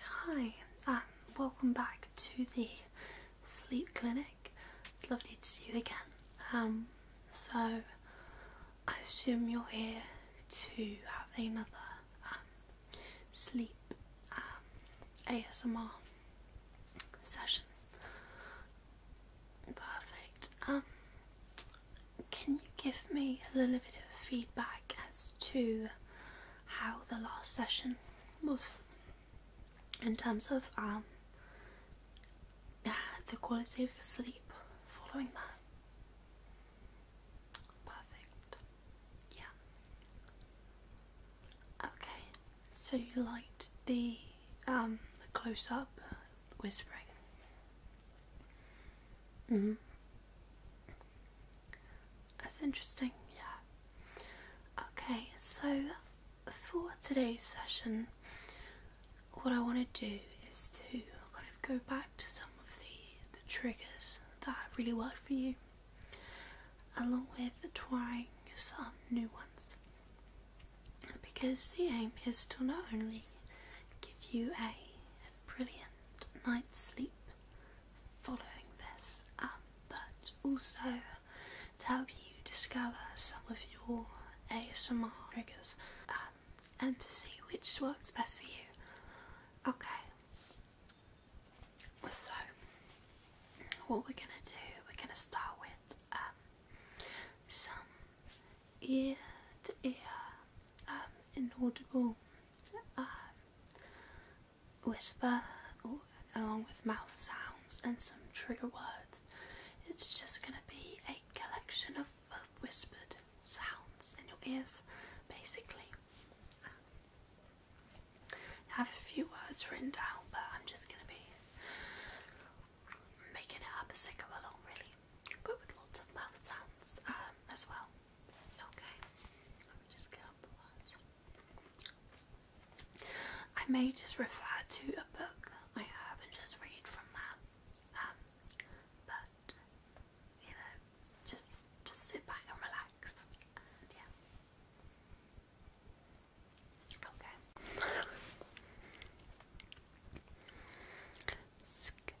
Hi, um, welcome back to the sleep clinic. It's lovely to see you again. Um, so, I assume you're here to have another um, sleep ASMR session. Perfect. can you give me a little bit of feedback as to how the last session was in terms of um, the quality of sleep following that. Perfect. Yeah. Okay. So you liked the um the close up whispering. Mhm. Mm that's interesting, yeah. Okay, so for today's session, what I want to do is to kind of go back to some of the, the triggers that really worked for you, along with trying some new ones. Because the aim is to not only give you a brilliant night's sleep, following this, um, but also to help you discover some of your ASMR triggers um, and to see which works best for you. Okay, so what we're gonna do, we're gonna start with um, some ear to ear um, inaudible whisper along with mouth sounds and some trigger words. It's just going to be a collection of whispered sounds in your ears, basically. I have a few words written down, but I'm just going to be making it up as I go along, really, but with lots of mouth sounds um, as well. Okay, let me just get up the lines. I may just refer to a book I have and just read from that. Um, but you know, just just sit back and relax. yeah. Okay.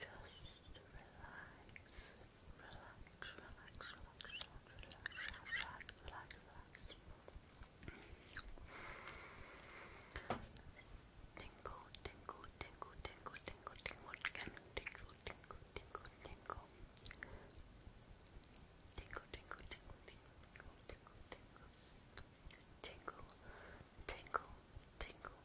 Just relax, relax, relax, relax, relax, relax, relax, relax. Tingle, tingle, tingle, tingle, tingle, tingle, tingle, tingle, tingle, tingle, tingle. Tingle, tingle, tingle, tingle, tingle, tingle. Tingle, tingle, tingle,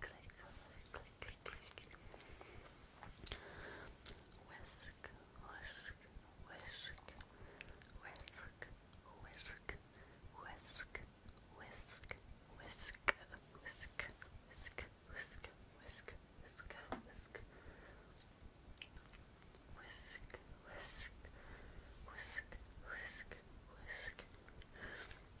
click, click, click, click. Whisk, whisk, whisk, whisk, whisk, whisk, whisk, whisk, whisk, whisk, whisk, whisk, whisk, whisk. Whisk, whisk, whisk, whisk, whisk.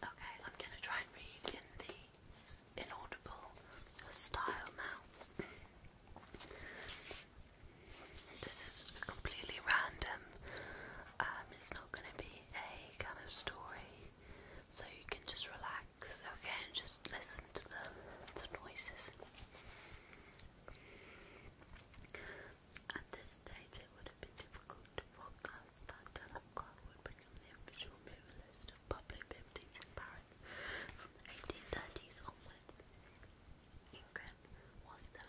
Okay, I'm going to try and read in the inaudible style now. This is completely random. Um, it's not going to be a kind of story so you can just relax, okay, and just listen to the, noises. At this stage, it would have been difficult to forecast that Delacroix would become the official muralist of public buildings in Paris from the 1830s onwards. Ingres was the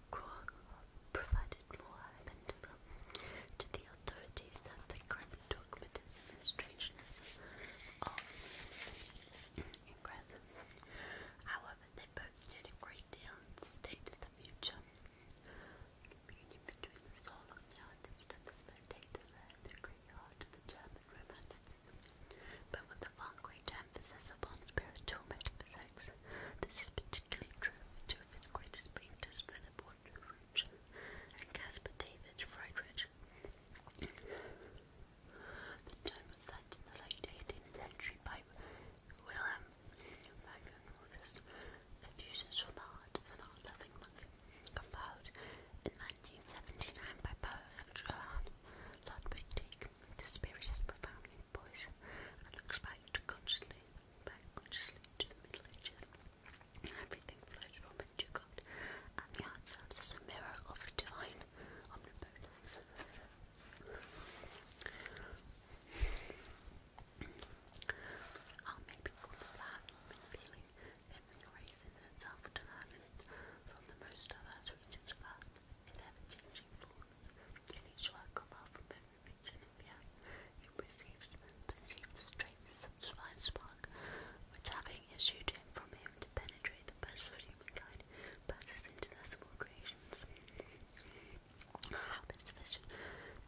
Kornilov provided more amendment to the authorities that the current dogmatism and strangeness of Ingress. However, they both did a great deal and stated the future. Communion between the soul on the artist and the spectator there, the great art of the German romanticism, but with a far greater this emphasis upon spiritual metaphysics. This is particularly true of two of its greatest painters, Philip Wardridge and Caspar David Friedrich. The term was signed in the late 18th century by Wilhelm Magnus Rogers, fusion from the heart of an art-loving monk, compiled in 1979 by poet Johann Ludwig Tieck. The spirit is profoundly boys and looks back to consciously, back consciously to the Middle Ages. Everything flows from it God, and the art serves as a mirror of divine omnipotence. Art may be called art, appealing, every races itself to learn from the most diverse regions of art, in ever-changing forms and he shall come out from every region of the earth, and perceives, the traces of divine spark, which having issued from him to penetrate the best of humankind, passes into their small creations. How this vision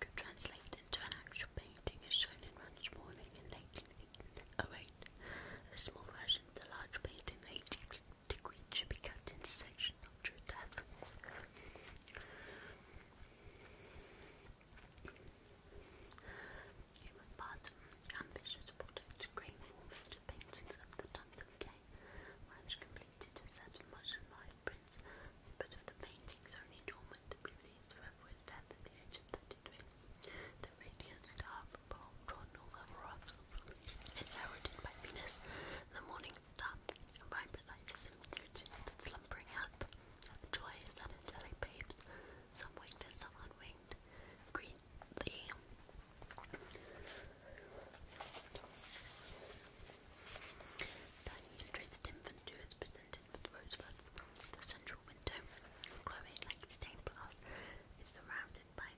could translate into an actual painting is shown in Run's Morning in 1908, a small version the large painting that deeply the should be kept in section after death. It was part of ambitious project to create more major paintings of the time of the day. Ranch completed a set much admired prints, but of the paintings only dormant to be released his death at the age of 32. The radiant star of Paul John Oliver I sourded my penis the morning star, vibrant life is imputed that slumbering hath. joy is that angelic babes, some winged some unwinged, greet thee. Tiny illustrated infant to is presented with rosebud. The central window, glowing like stained glass, is surrounded by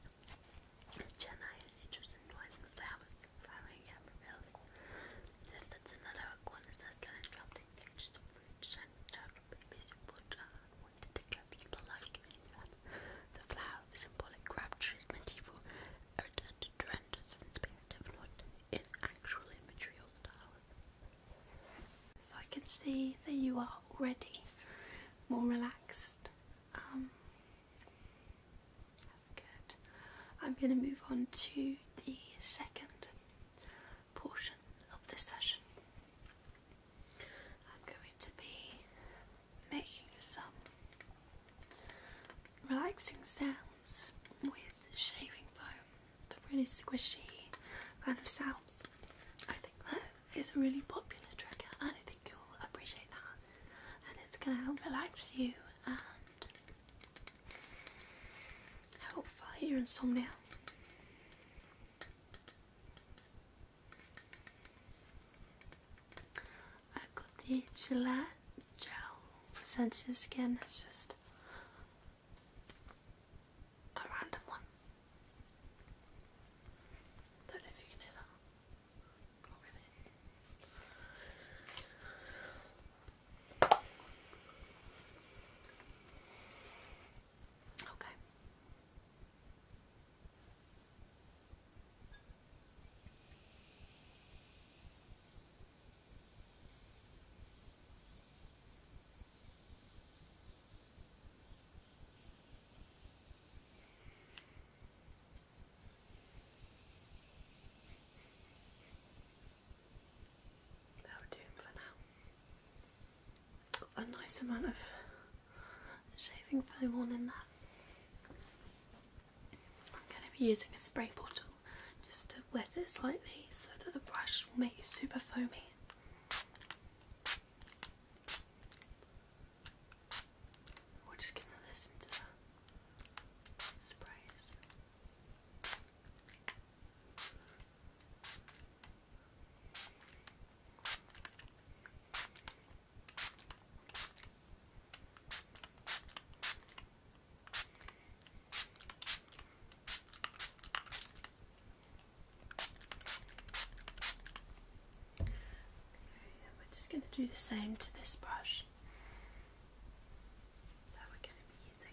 Jenna had an interest in noise flowers, flowering amarillos. Then that's another corner sister and dropped in pictures of fruits and child babies who put on wanted to capture the life giving The flower was symbolic crab treatment evil to tremendous and spirit not in actual immaterial style. So I can see that you are already more relaxed. Um, that's good. I'm going to move on to the second portion of this session. I'm going to be making some relaxing sounds with shaving foam, the really squishy kind of sounds. I think that it's a really popular trigger and I think you'll appreciate that and it's going to help relax you and help fight your insomnia. i got the Gillette gel for sensitive skin, it's just a random one. Don't know if you can hear that over there. Okay. That'll do for now. Got a nice amount of shaving foam on in there. I'm going to be using a spray bottle just to wet it slightly so that the brush will make you super foamy. We're just gonna listen to the we're just going to do the same to this brush that we're going to be using.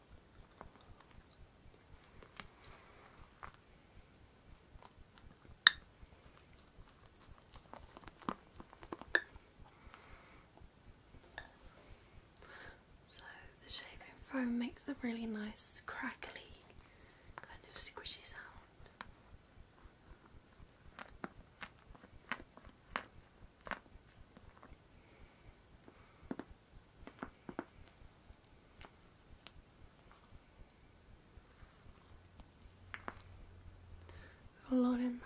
So the shaving foam makes a really nice crackly kind of squishy sound. Lorena.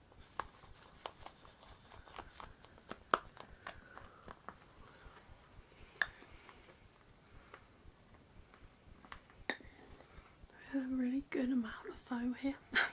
We have a really good amount of foam here.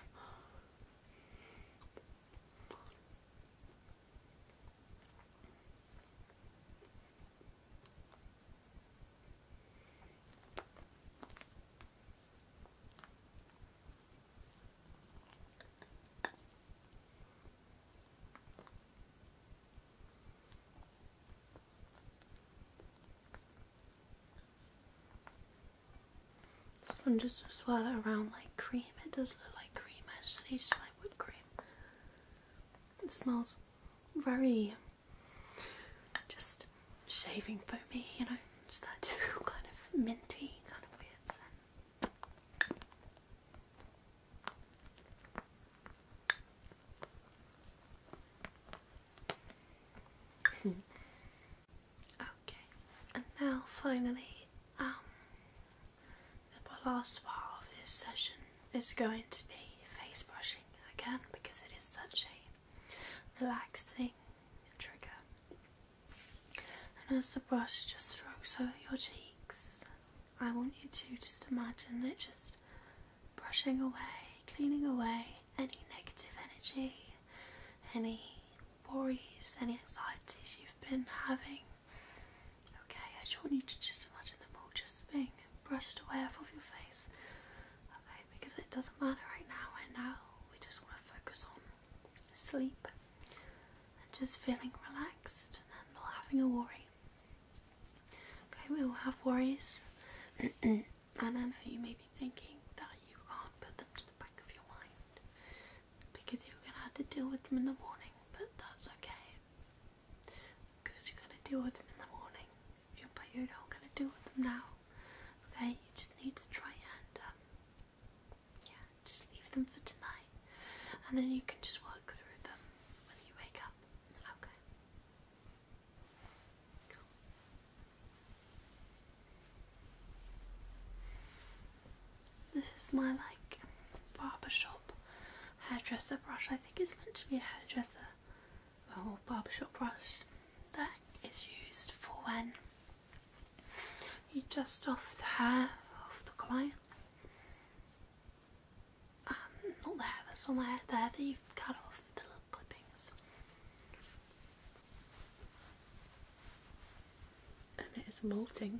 This one just swirl it around like cream. It does look like cream actually, just like whipped cream. It smells very just shaving foamy, you know. Just that typical kind of minty kind of weird okay, and now finally, um, the last part of this session is going to be face brushing again because it is such a relaxing trigger. And as the brush just strokes over your cheeks, I want you to just imagine it just brushing away, cleaning away any negative energy, any worries, any anxieties you've been having. Okay, I just want you to just imagine them all just being brushed away off of your face. Okay, because it doesn't matter right now, and right now we just want to focus on Sleep and just feeling relaxed and not having a worry. Okay, we all have worries, and I know you may be thinking that you can't put them to the back of your mind because you're gonna have to deal with them in the morning, but that's okay because you're gonna deal with them in the morning, but you're not gonna deal with them now. Okay, you just need to try and um, yeah, just leave them for tonight and then you can just work through them when you wake up. Okay. This is my like barbershop hairdresser brush. I think it's meant to be a hairdresser or barbershop brush that is used for when you just off the hair of the client. not um, the hair that's on the hair that you've cut off the little clippings. And it is molting.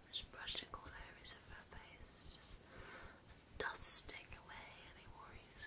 I'm just brushing areas of her face, does take away any worries.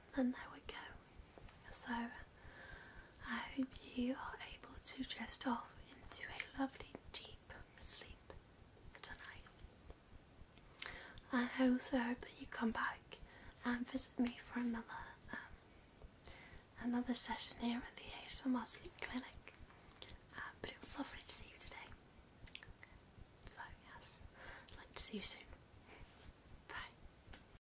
and then there we go. So I hope you are able to drift off into a lovely deep sleep tonight. And I also hope that you come back and visit me for another um, another session here at the ASMR Sleep Clinic. Uh, but it was lovely to see you today. So yes, I'd like to see you soon. Bye.